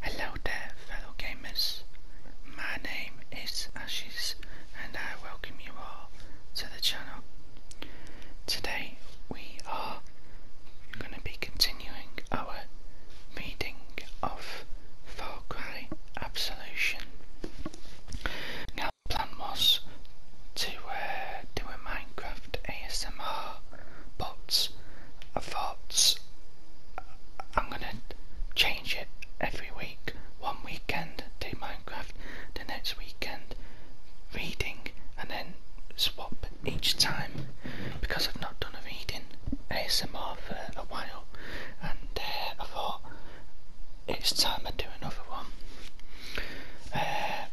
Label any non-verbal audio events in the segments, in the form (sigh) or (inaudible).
Hello there fellow gamers, my name is Ashes and I welcome you all to the channel. Today we are going to be continuing our reading of Far Absolution. Now the plan was to uh, do a Minecraft ASMR bots, thoughts. Uh, I'm gonna change it every week. One weekend do Minecraft, the next weekend reading, and then swap each time because I've not done a reading ASMR for a while, and uh, I thought it's time I do another one. Uh,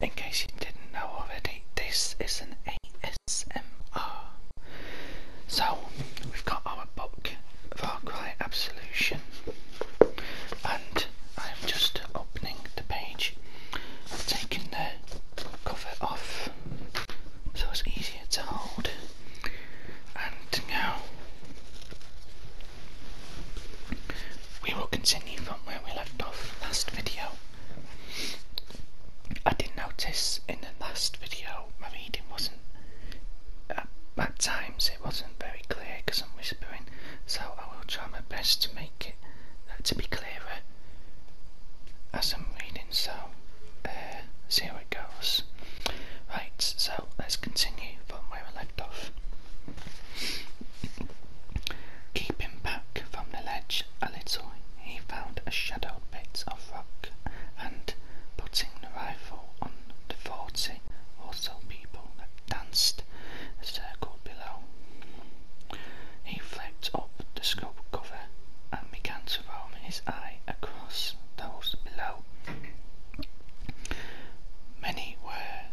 in case you didn't know already, this is an ASMR. So, we've got our book, Far Cry Absolution, and I'm just opening the page. I've taken the cover off so it's easier to hold, and now we will continue from where we left off last video. I did not notice in the last video my reading wasn't, uh, at, times it wasn't very clear because I'm whispering, so I will try my best to make it, uh, to be clearer as I'm reading, so uh, see how it goes. Right, so let's continue from where we left off. Keeping back from the ledge a little he found a shadowed bit of rock and, putting the rifle on the forty or so people that danced a circle below, he flipped up the scope cover and began to roam his eye across those below. Many were,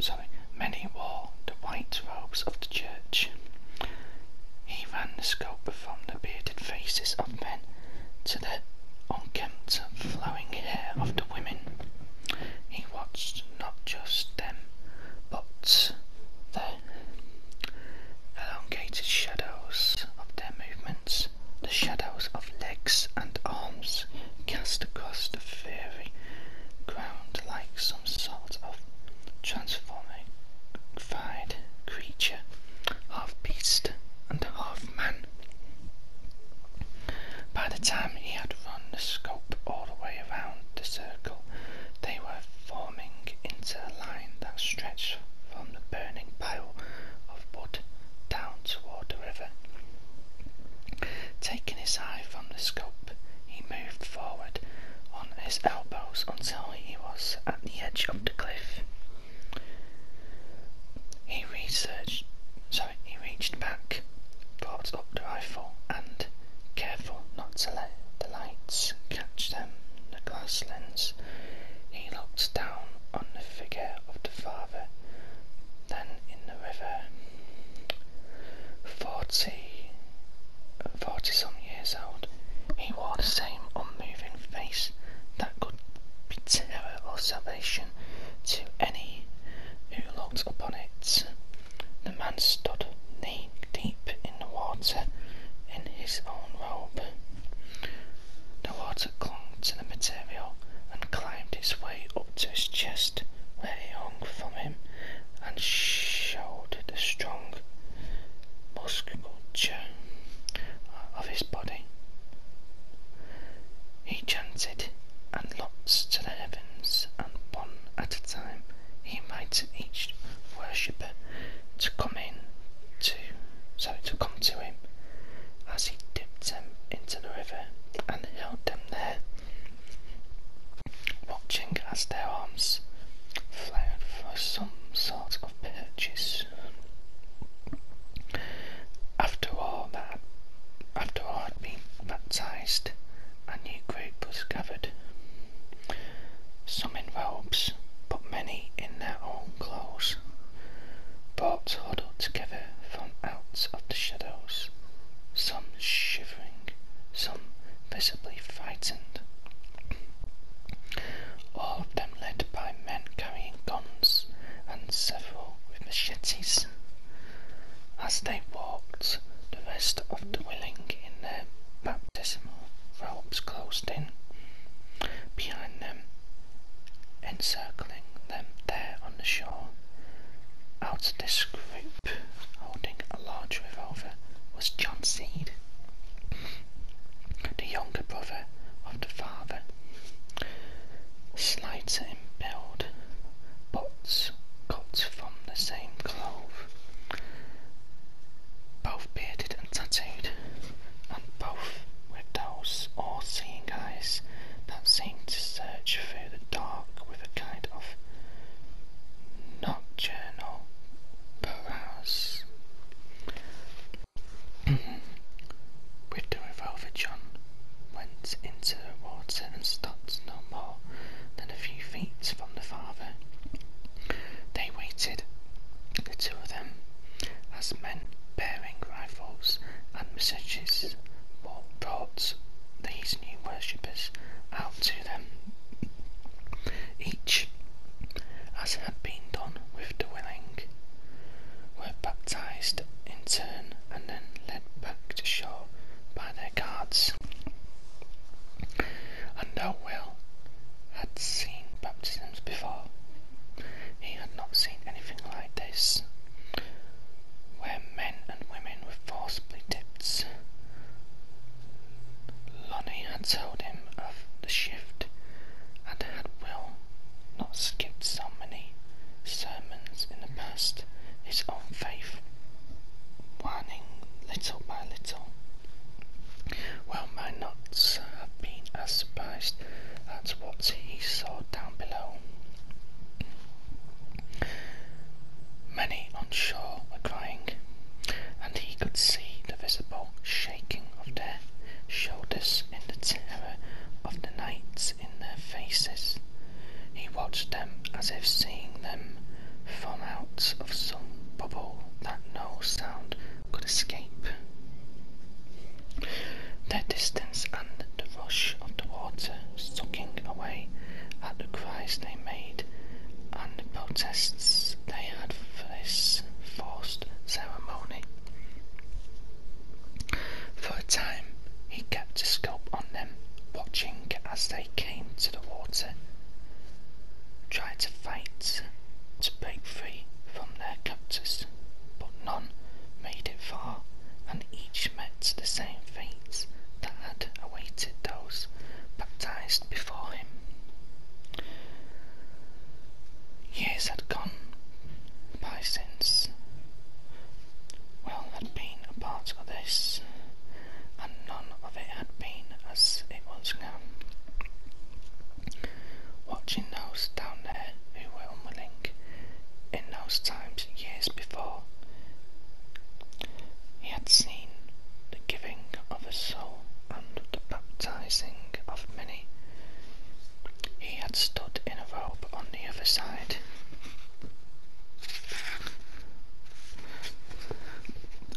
sorry, many wore the white robes of church. He ran the scope from the bearded faces of men to the unkempt, flowing hair of the women. He watched not just them, but the elongated shadows of their movements, the shadows of legs and arms cast across the fairy ground like some sort result of transforming fied creature, half beast and half man. By the time he had run the scope all the way around the circle, they were forming into a line that stretched from the burning pile of wood down toward the river. Taking his eye from the scope, he moved forward on his elbows until he was at the edge of the cliff. He researched, sorry, he reached back, brought up the rifle, and, careful not to let the lights catch them, the glass lens, he looked down on the figure of the father, then in the river. Forty 40 some years old. He wore the same unmoving face that could be terror or salvation to any who looked upon it. The man stood knee deep in the water in his own robe. The water clung to the material and climbed its way up to his chest, where it hung from him and showed the strong musculature of his body. He chanted and looked to the heavens, and one at a time he invited each worshipper to come in to sorry to come to him as he dipped them into the river and held them there watching as their arms flared for some sort of purchase. After all that after all had been baptized, a new group was gathered. Some in robes, but many in their own clothes, But huddled together from out of the shadows. Some sh some visibly frightened. All of them led by men carrying guns, and several with machetes. As they walked, the rest of the willing in their baptismal robes closed in. Behind them, encircling them there on the shore, out of this group holding a large revolver was John Seed, the younger brother of the father. Slighter in build, but cut from the same cloth, both bearded and tattooed, and both with those all-seeing eyes that seemed to search through the dark with a kind of nocturnal Boaz. (clears throat) With the revolver, John went into the water and stopped no more than a few feet from the father. They waited, the two of them, as men bearing rifles and messages brought these new worshippers out to each, as had been done with the willing, were baptized in turn and then led back to shore by their guards. And though Will had seen baptisms before, he had not seen anything like this, where men and women were forcibly dipped Lonnie had told him of the shift and had Will not skipped so many sermons in the past, his own faith waning little by little. well might not have been as surprised at what he saw down below. Many on shore were crying, and he could see the visible shaking of their shoulders in the terror of the knights in their faces. He watched them as if seeing them from out of some bubble that no sound could escape. The distance and the rush of the water sucking away at the cries they made and the protests they had this forced ceremony. For a time, he kept a scope on them, watching as they came to the water, tried to fight to break free from their captors, but none made it far, and each met the same fate that had awaited those baptized before for him. Years had gone by since well had been a part of this, and none of it had been as it was now. Watching those down there who were unwilling in those times years before, he had seen the giving of his soul and the baptizing of many. He had stood in a robe on the other side.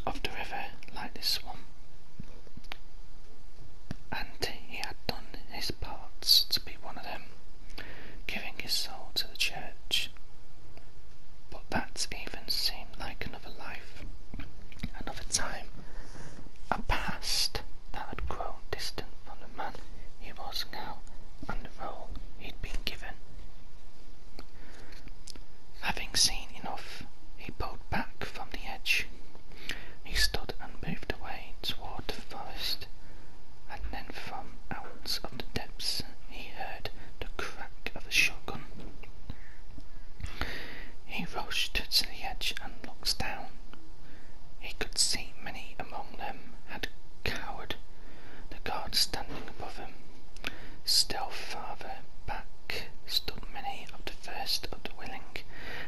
Of the river like this one, and he had done his parts to be one of them, giving his soul to the church. But that even seemed like an another life, another time, a past that had grown distant from the man he was now and the role he'd been given. Having seen enough, he pulled back from the edge. He stood and moved away toward the forest, and then from out of the depths he heard the crack of the shotgun. He rushed to the edge and looked down. He could see many among them had cowered, the guard standing above him. Still farther back stood many of the first of the willing,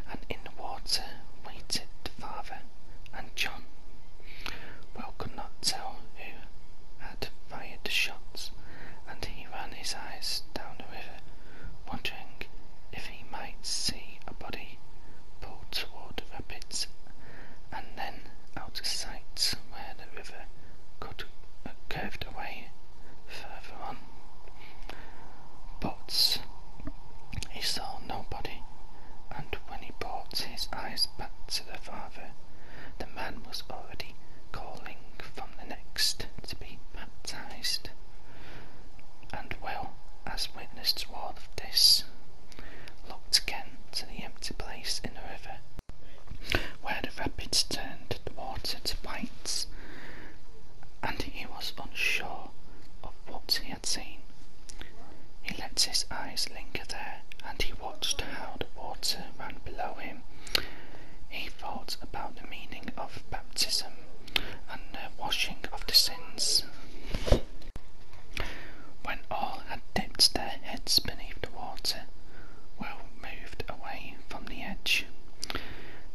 and in the water waited the father and John. Will could not tell who fired the shots, and he ran his eyes down the river, wondering if he might see a body pull toward rapids and then out of sight where the river could, uh, curved away further on. But he saw nobody, and when he brought his eyes back to the father, the man was already calling from the next to be baptized, and well as witness to all of this, looked again to the empty place in the river, where the rapids turned the water to white, and he was unsure of what he had seen. He let his eyes linger there, and he watched how the water ran below him. He thought about the meaning of baptism and the washing of the sins. When all had dipped their heads beneath the water, Will moved away from the edge.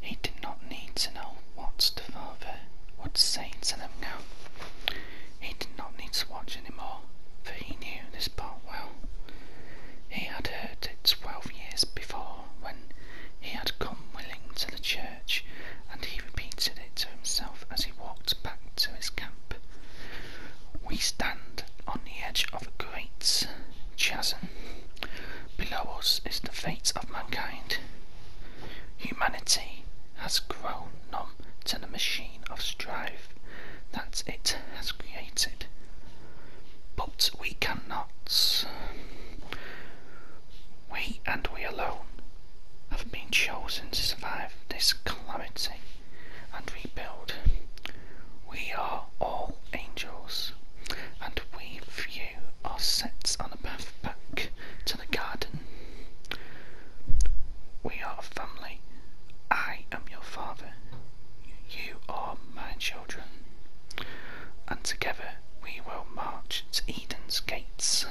He did not need to know what the father would say to them now. He did not need to watch anymore, for he knew the but well, he had heard it twelve years before when he had come willing to the church, and he repeated it to himself as he walked back to his camp. We stand on the edge of a great chasm. Below us is the fate of mankind. Humanity has grown numb to the machine of strife that it has created. But we cannot. We and we alone have been chosen to survive this calamity and rebuild. We are all angels, and we few are set on a path back to the garden. We are a family. I I am your father. You are my children. And together we will march to Eden's gates.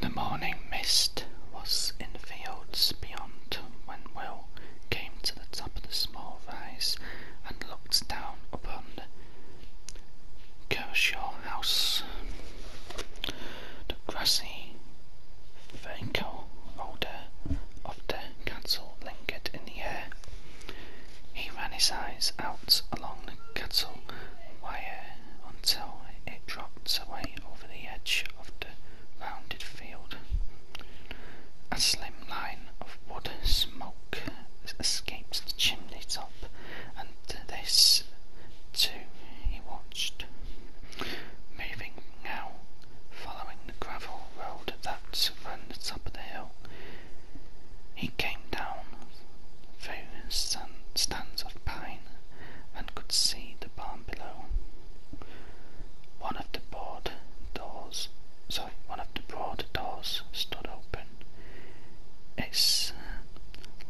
The morning mist was in the fields beyond when Will came to the top of the small rise and looked down upon the Kershaw house. The grassy see. Franco Older of the castle lingered in the air. He ran his eyes out along the castle wire until it dropped away over the edge of the rounded field. A slim line of wood smoke escaped the chimney top, and this, too, he watched. Moving now, following the gravel road that ran the top of the hill. He came down through stands of pine and could see the barn below. One of the board doors, sorry, one of the broad doors stood open. Its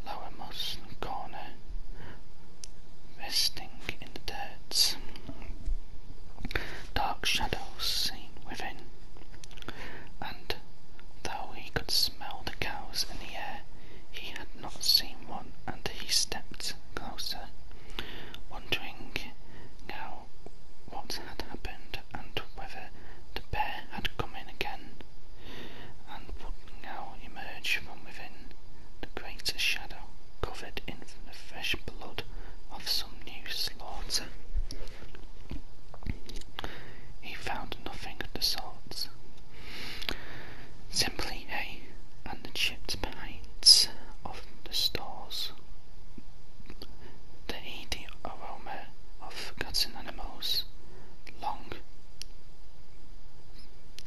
lowermost corner resting in the dirts, Dark shadows seen within, and though he could smell the cows in the air, he had not seen one, and he stepped closer, wondering now what had happened and whether the bear had come in again, and would now emerge from within the greatest shadow covered in the fresh blood of some new slaughter. He found nothing of the sort, simply hay and the chipped paints of the stores. The heady aroma of forgotten animals, long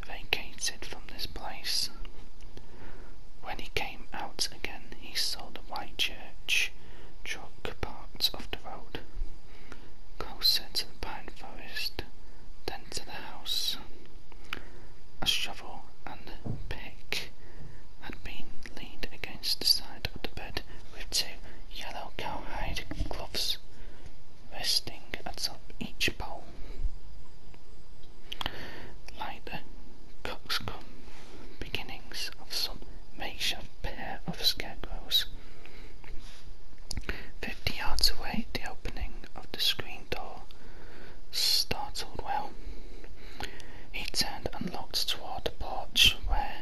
vacated from this place. When he came out again, he saw the white church truck parts of the road, closer to the pine forest than to the house. A shovel and pick had been leaned against the side of the bed with two yellow cowhide gloves resting atop each pole like the beginnings of some makeshift pair of scarecrows. Fifty yards away, the opening of the screen door startled Well, He turned and looked toward the porch where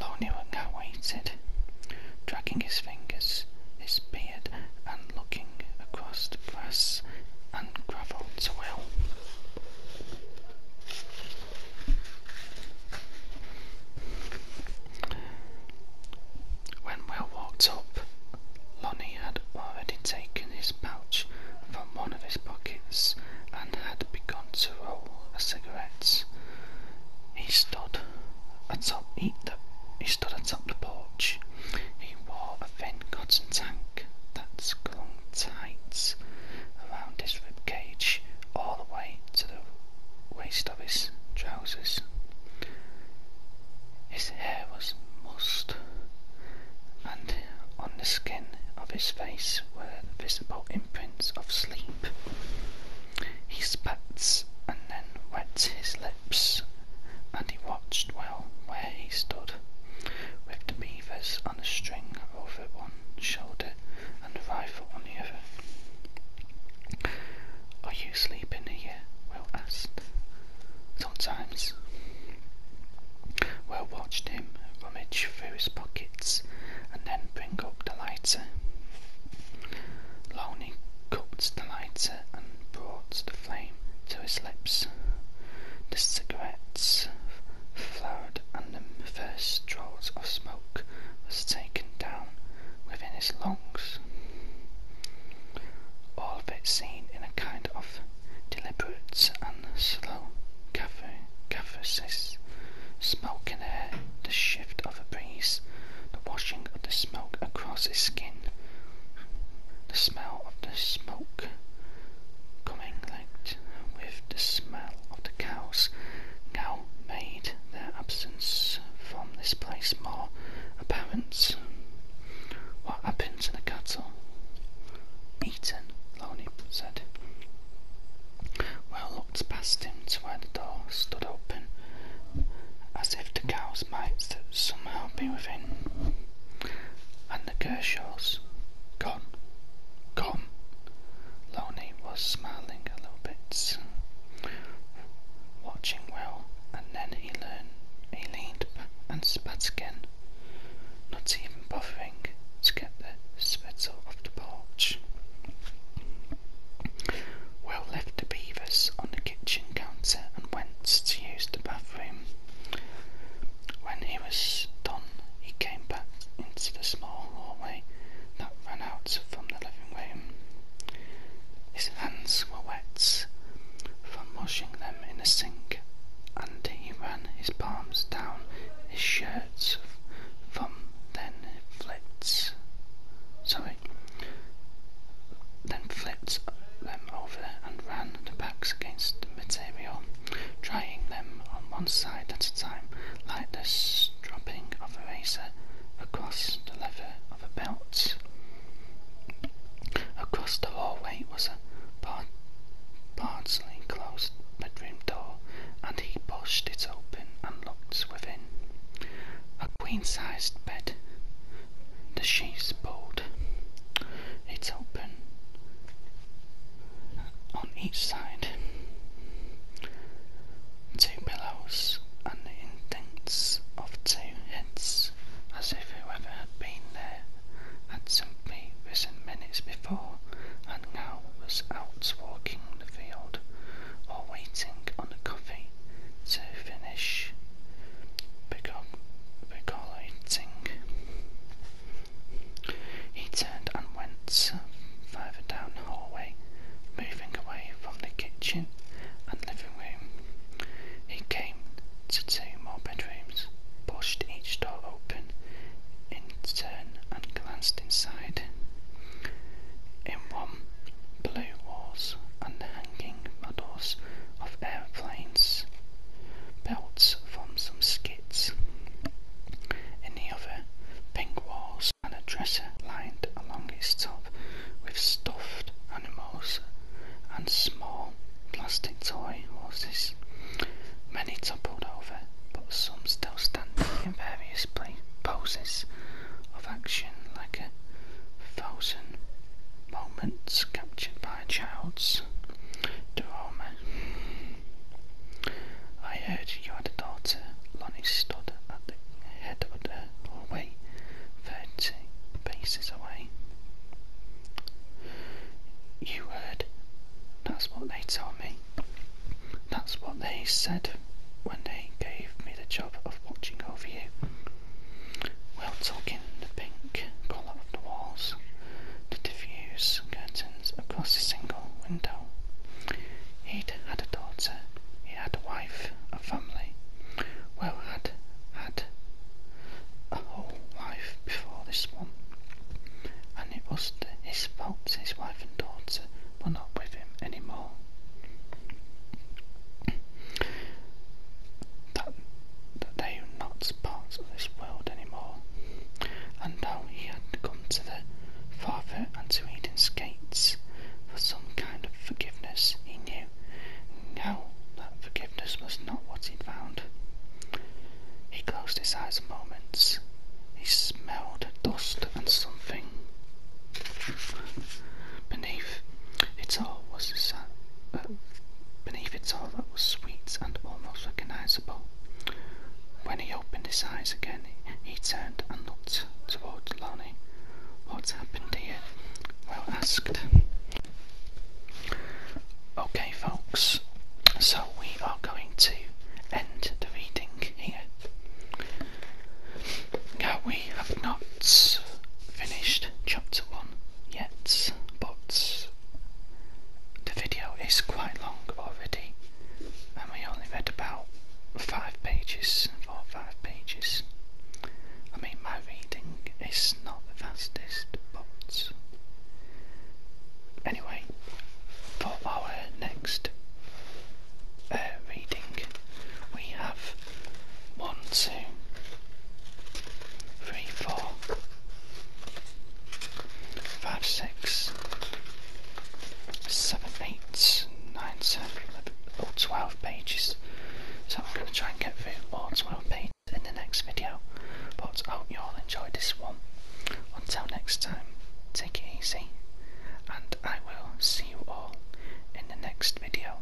Lonely Cat waited, dragging his fingers, his beard and looking across the grass and gravel to When Will walked up, Lonnie had already taken his pouch from one of his pockets and had begun to roll a cigarette. He stood atop he, he stood up the porch. He wore a thin cotton tank that clung tight around his rib cage all the way to the waist of his trousers. His hair was mussed, and on the skin of his face were visible imprints of sleep. He spat and then wets his lips and he watched well where he stood, with the beavers on a string over one shoulder and a rifle on the other. Are you sleeping here? Will asked. Sometimes. Will watched him rummage through his pockets and then bring up the lighter. Loney cupped the lighter and brought the flame to his lips. The cigarettes flared, and the first draught of smoke was taken down within his lungs. All of it seen in a kind of deliberate and slow catharsis. Smoke in air, the shift of a breeze, the washing of the smoke across his skin, the smell of the smoke coming out, with the smell of the cows now made their absence from this place more apparent. What happened to the cattle? Eaten, Loney said. Well looked past him to where the door stood open, as if the cows might somehow been within. And the Kershaws, gone, gone. Lonnie was smiling a little bit, watching well, and then he learned, he leaned and spat again, not even bothering to get the spittle off the porch. Well, left the beavers on the kitchen counter and went to use the bathroom. When he was done, he came back into the small hallway that ran out from the living room. His hands were wet from washing them in the sink, and he ran his palms down his shirt from then flipped sorry then flipped them over and ran the backs against the material, drying them on one side at a time, like the stropping of a razor across the leather of a belt. Across the hallway was a partially closed bedroom door, and he pushed it open and looked within. A queen-sized bed the chaise boat. It's open on each side. Two pillows and the indents of two heads, as if whoever had been there had simply risen minutes before and now was out walking the field or waiting on the coffee to finish Becolaiting. He turned and went further down the hallway, moving away from the kitchen and living room. He came to two more bedrooms, pushed each door open in turn, and glanced inside. In one, blue walls and hanging models of airplanes, belts from some skits. In the other, pink walls and a dresser lined along its top with stuffed animals and small plastic toy horses, many toppled over, but some still standing in various poses of action like a frozen moments captured by my childs to I heard you had a daughter. Lonnie stood at the head of the hallway, thirty paces away. You heard. That's what they told me. That's what they said when they gave me the job of watching over you while tilting the pink colour of the walls to diffuse curtains across a single window. He'd had a daughter, he had a wife, a family, well had had a whole life before this one. And it was his fault his wife and daughter were not with him anymore that, they were not parts of this world anymore. And now he had come to the Father and to Eden's gates for some kind of forgiveness, he knew. Now that forgiveness was not what he found. He closed his eyes a moment. He smelled dust and something. Beneath it all was the, Beneath its all that was sweet and almost recognizable. When he opened his eyes again, he turned and looked towards Lani. What's happened here? Well asked. Okay, folks, so we are going to end the reading here. Now, we have not finished chapter 1 Yes, but the video is quite long already, and we only read about five pages, four or five pages. I mean, my reading is not the fastest, but anyway, for our next uh, reading, we have one, two, three, four five, six, seven, eight, nine, ten, eleven, oh, 12 pages. So I'm going to try and get through all 12 pages in the next video. But I hope you all enjoyed this one. Until next time, take it easy, and I will see you all in the next video.